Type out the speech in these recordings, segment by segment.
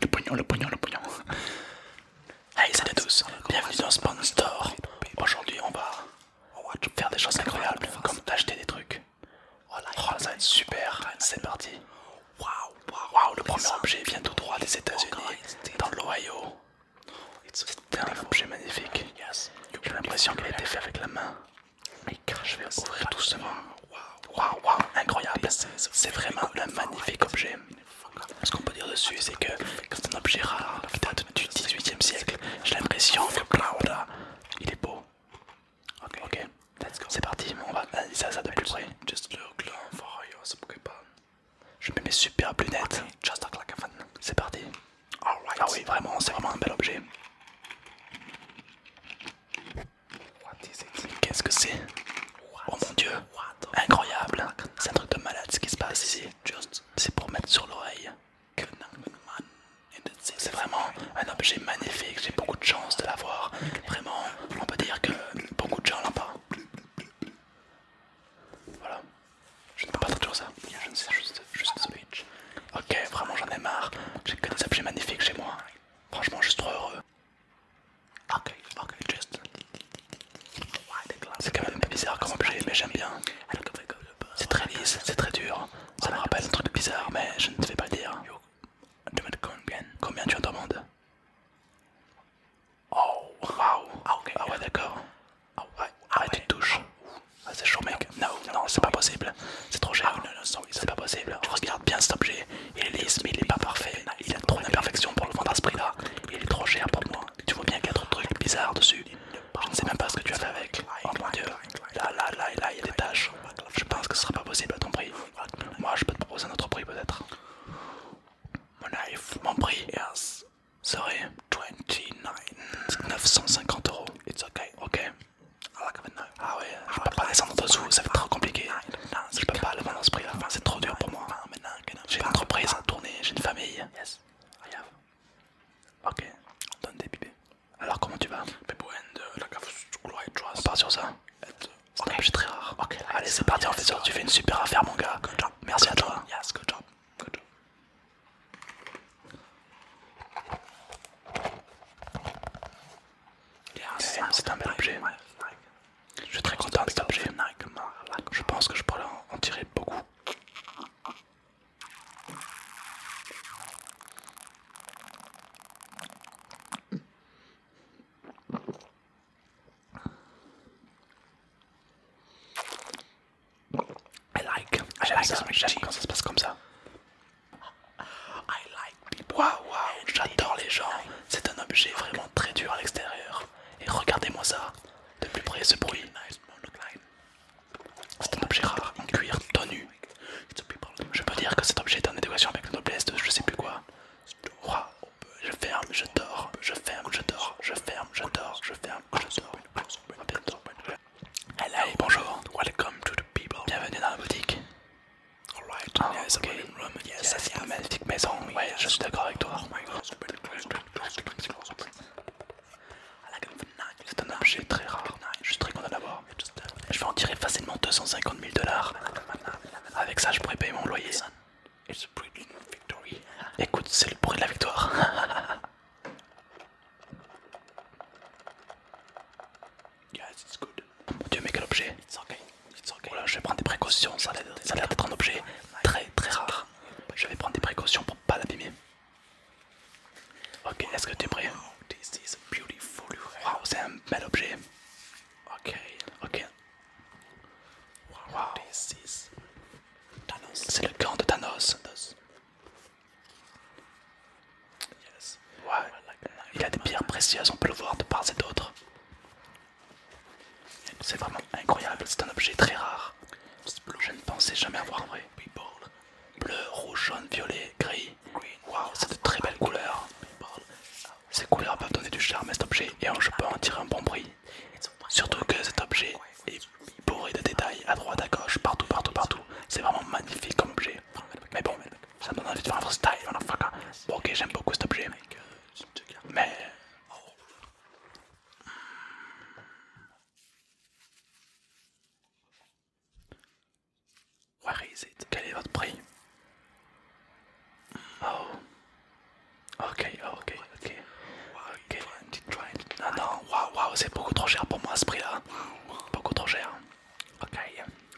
Le pognon, le pognon, le pognon. Hey, salut à tous, bienvenue dans Spawn Store. Aujourd'hui, on va faire des choses incroyables, comme d'acheter des trucs. Oh, ça va être super, c'est parti. Wow, le premier objet vient tout droit des États-Unis, dans l'Ohio. C'est un objet magnifique. J'ai l'impression qu'il a été fait avec la main. Je vais ouvrir doucement. Wow waouh, incroyable. C'est vraiment un magnifique objet. Ce qu'on peut dire dessus, c'est que c'est un objet rare qui date du 18e siècle. J'ai l'impression que là il est beau. Ok, ok c'est parti, on va analyser ça, ça de plus près. Je mets mes superbes lunettes. C'est parti. Ah oui, vraiment, c'est vraiment un bel objet. Qu'est-ce que c'est Oh mon dieu Incroyable C'est un truc de malade ce qui se passe ici. C'est pour mettre sur l'oreille. C'est vraiment un objet magnifique, j'ai beaucoup de chance de l'avoir. Vraiment, on peut dire que beaucoup de gens l'ont pas. Voilà. Je ne peux pas traduire ça. Je ne sais juste, juste switch. Ok, vraiment j'en ai marre. J'ai que des objets magnifiques chez moi. Franchement, je suis trop heureux. Ok, ok, juste. C'est quand même bizarre comme objet, mais j'aime bien. C'est très lisse, c'est très dur. Ça me rappelle un truc bizarre, mais je ne te fais pas le dire. Combien tu en demandes Oh, wow, Ah, ah ouais, d'accord. Ah ouais, ah tu te touches. Ah, c'est chaud, mec. Non, non, c'est pas possible. C'est trop cher. C'est pas possible. Je regarde bien cet objet. Il est lisse, mais il est pas parfait. Il a trop d'imperfections pour le vendre à ce prix-là. Il est trop cher pour moi. Tu vois bien qu'il y a trop de trucs bizarres dessus. Je ne sais même pas ce que tu as fait avec. Oh mon dieu. Là, là, là, il y a des tâches. Je pense que ce sera pas possible à ton prix. Moi, je peux te proposer un autre prix peut-être. Mon prix serait 950 euros. Ok, ah ouais, euh, je peux pas descendre en dessous, ça va être trop compliqué. Non, Je peux pas le dans dans ce prix-là, c'est trop dur pour moi. J'ai une entreprise à tourner, j'ai une famille. Yes, I have. Ok, on donne des pipés. Alors comment tu vas On part sur ça C'est très rare. Allez, c'est parti, on fait ça. Tu fais une super affaire, mon gars. Merci à toi. Yes, good job. Good job. C'est un bel objet. Je suis très content de cet objet. Je pense que je pourrais en tirer beaucoup. I like, j'aime quand ça se passe comme ça j'adore les gens. C'est un objet vraiment très dur à l'extérieur. Et regardez-moi ça, de plus près ce bruit. C'est un objet rare, en cuir, tout Je peux dire que cet objet est en éducation avec la noblesse de je sais plus quoi. je ferme, je dors, je ferme, je dors, je ferme, je dors, je ferme, je dors bonjour. Bienvenue dans la boutique. Ah, c'est une yes, magnifique maison. je suis d'accord avec toi. C'est un objet très rare. Je suis très content d'avoir. Je vais en tirer facilement 250 000 dollars. Avec ça, je pourrais payer mon loyer. Écoute, c'est le bruit de la victoire. Yes, it's good. Dieu, mais quel objet it's okay. Voilà, Je vais prendre des précautions, ça a l'air d'être un objet très très rare. Je vais prendre des précautions pour pas l'abîmer. Ok, est-ce que tu es prêt Wow, c'est un bel objet. Ok, ok. Wow. C'est le camp de Thanos. Ouais, il a des pierres précieuses, on peut le voir de part et d'autre. C'est vraiment incroyable, c'est un objet très rare. Je ne pensais jamais avoir vrai. Bleu, rouge, jaune, violet, gris. Waouh, c'est de très belles couleurs. Ces couleurs peuvent donner du charme à cet objet et je peux en tirer un bon prix. Surtout que cet objet est bourré de détails à droite, à gauche, partout, partout, partout. C'est vraiment magnifique comme objet. Mais bon, ça me donne envie de faire un freestyle. Bon, ok, j'aime beaucoup cet objet. Mais. Quel est votre prix? Oh. ok, ok. Ok. Non, non, waouh, waouh, c'est beaucoup trop cher pour moi à ce prix-là. Beaucoup trop cher. Ok,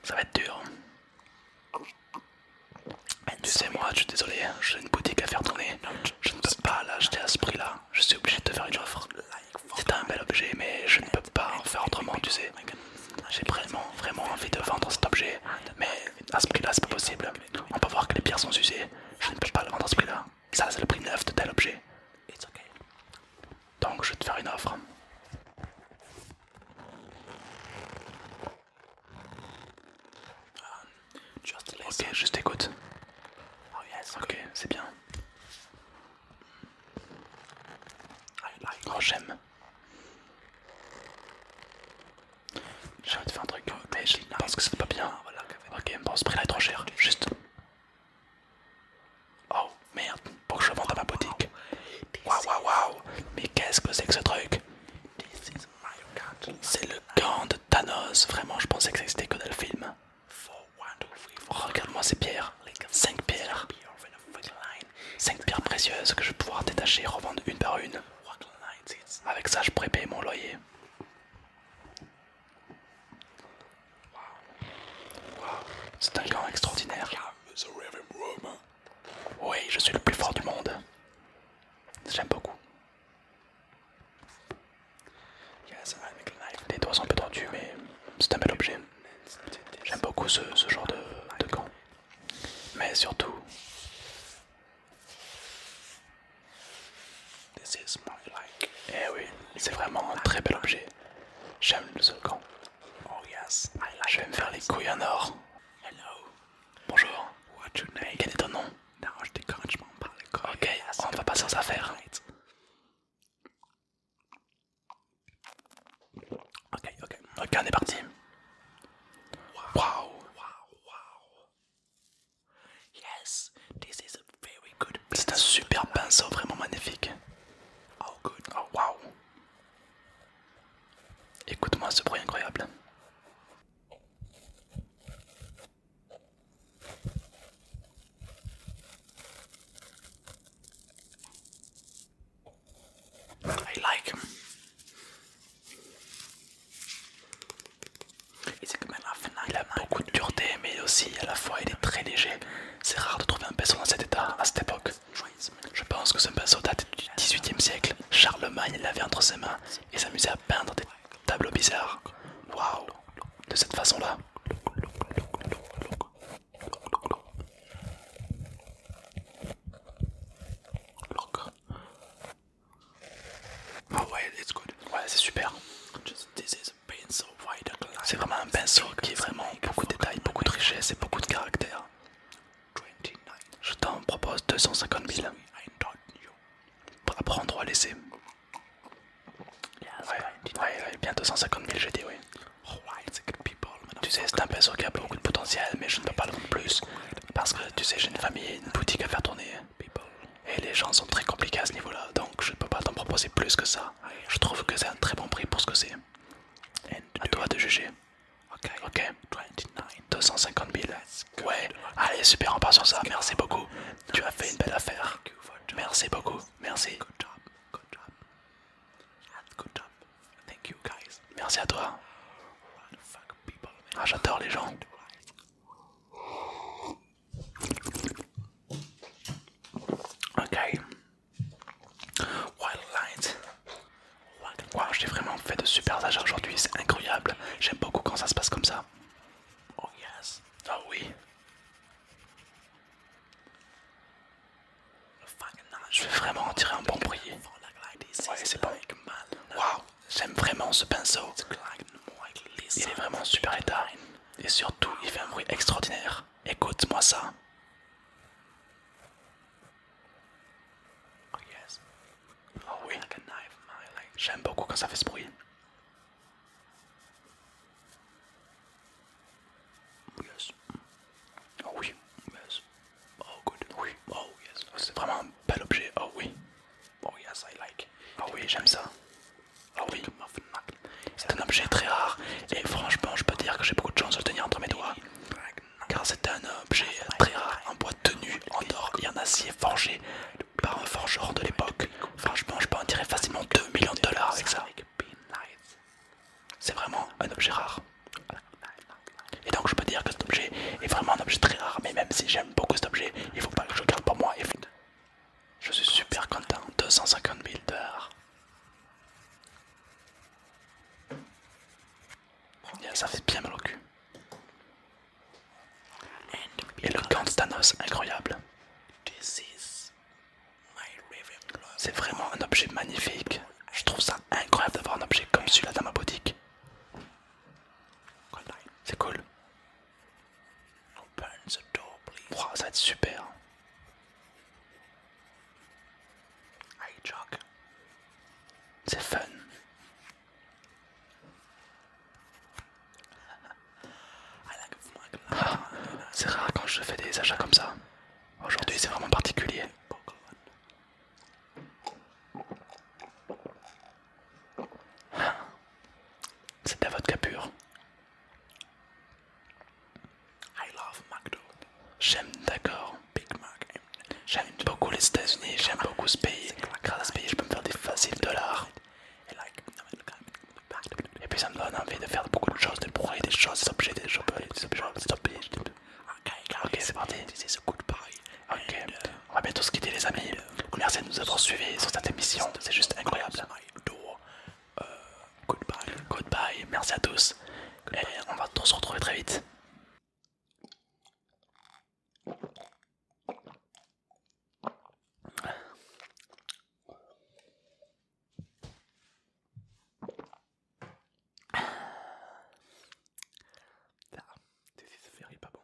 ça va être dur. Tu sais, moi, je suis désolé, j'ai une boutique à faire tourner. Je ne peux pas l'acheter à ce prix-là. Je suis obligé de faire une offre. C'est un bel objet, mais je ne peux pas en faire autrement, tu sais. J'ai vraiment, vraiment envie de vendre cet objet, mais à ce prix-là, c'est pas possible. On peut voir que les pierres sont usées. Je ne peux pas le vendre à ce prix-là. Ça, c'est le prix neuf de tel objet. Donc, je vais te faire une offre. Ah, ok, juste écoute. Oh, ok, c'est bien. I like oh, j'aime. envie te faire un truc, oh, mais je pense que c'est pas bien. Ah, ok, bon, ce prix là est trop cher. Juste, Oh merde, pour que je vende à ma boutique. Waouh waouh waouh, mais qu'est-ce que c'est que ce truc C'est le gant de Thanos, vraiment je pensais que ça existait que dans le film. Oh, regarde-moi ces pierres, 5 pierres. 5 pierres précieuses que je vais pouvoir détacher et revendre une par une. Avec ça je pourrais payer mon loyer. C'est un gant extraordinaire. Oui, je suis le plus fort du monde. J'aime beaucoup. Les doigts sont un peu tendus, mais c'est un bel objet. J'aime beaucoup ce, genre de, gant Mais surtout, This is my like. Eh oui, c'est vraiment un très bel objet. J'aime le volcan. Oh yes, I like Je vais me faire les couilles en or. Hello. Bonjour. What's your name? Quel est ton nom? Non, je décourage pas par les Ok, on va passer aux affaires. Right. Ok, ok. Ok, on est parti. Waouh. Wow. Wow, wow. Yes, C'est un super pinceau, vraiment magnifique. Oh good, oh wow. Écoute-moi ce bruit incroyable. I like. Il a beaucoup de dureté, mais aussi à la fois il est très léger. C'est rare de trouver un pinceau dans cet état à cette époque. Je pense que ce pinceau date du 18e siècle. Charlemagne l'avait entre ses mains et s'amusait à peindre des tableaux bizarres. Waouh! De cette façon-là. Oh ouais, c'est super. C'est vraiment un pinceau qui est vraiment beaucoup de détails, beaucoup de richesse et beaucoup de caractère. Je t'en propose 250 000 pour apprendre à laisser. Ouais, bien 250 000 j'ai dit, oui. Tu sais, c'est un pinceau qui a beaucoup de potentiel, mais je ne peux pas le vendre plus. Parce que, tu sais, j'ai une famille, une boutique à faire tourner. Et les gens sont très compliqués à ce niveau-là, donc je ne peux pas t'en proposer plus que ça. Je trouve que c'est un très bon prix pour ce que c'est. À toi de juger. Ok, 250 000. Ouais, allez, super, on part sur ça. Merci beaucoup. Tu as fait une belle affaire. Merci beaucoup. Merci. Merci à toi. Ah, j'adore les gens. Ok. Wow, j'ai vraiment fait de super achats aujourd'hui, c'est incroyable. J'aime beaucoup quand ça se passe comme ça. Oh yes. Oh oui. Je vais vraiment en tirer un bon bruit. Ouais, c'est bon. Waouh. J'aime vraiment ce pinceau. Il est hein. vraiment super état. Et surtout, il fait un bruit extraordinaire. Écoute-moi ça. Oh, oh oui. J'aime beaucoup quand ça fait ce bruit. Oh oui. Oh Oui. Oh yes. C'est vraiment un bel objet. Oh oui. Oh Ah oui, j'aime ça. Ah c'est un objet très rare et franchement, je peux dire que j'ai beaucoup de chance de le tenir entre mes doigts. Car c'est un objet très rare en bois tenu en or et en acier forgé par un forgeron de l'époque. Franchement, je peux en tirer facilement 2 millions de dollars avec ça. C'est vraiment un objet rare. Et donc je peux dire que cet objet est vraiment un objet très rare, mais même si j'aime beaucoup cet objet, il faut pas que je garde pour moi. Et... Je suis super content, 250 000 ça fait bien mal au cul. Et le camp de Thanos, incroyable. C'est vraiment un objet magnifique. Je trouve ça incroyable d'avoir un objet comme celui-là dans ma boutique. C'est cool. ça va être super. C'est fun. Ah, c'est rare quand je fais des achats comme ça. Aujourd'hui, c'est vraiment particulier. Oh, c'est à votre capure J'aime d'accord. J'aime beaucoup les États-Unis, j'aime beaucoup ce pays. Grâce à ce pays, je peux me faire des faciles dollars. Et puis ça me donne envie de faire beaucoup de choses, de brûler des choses, des objets, des gens, des objets, des objets, des Ok, c'est parti. Ok, euh, on va bientôt se quitter, les amis. Uh, merci de nous avoir suivis sur cette émission, c'est juste incroyable. Goodbye, uh, merci à tous. Et on va tous se retrouver très vite c'est this is very pas bon.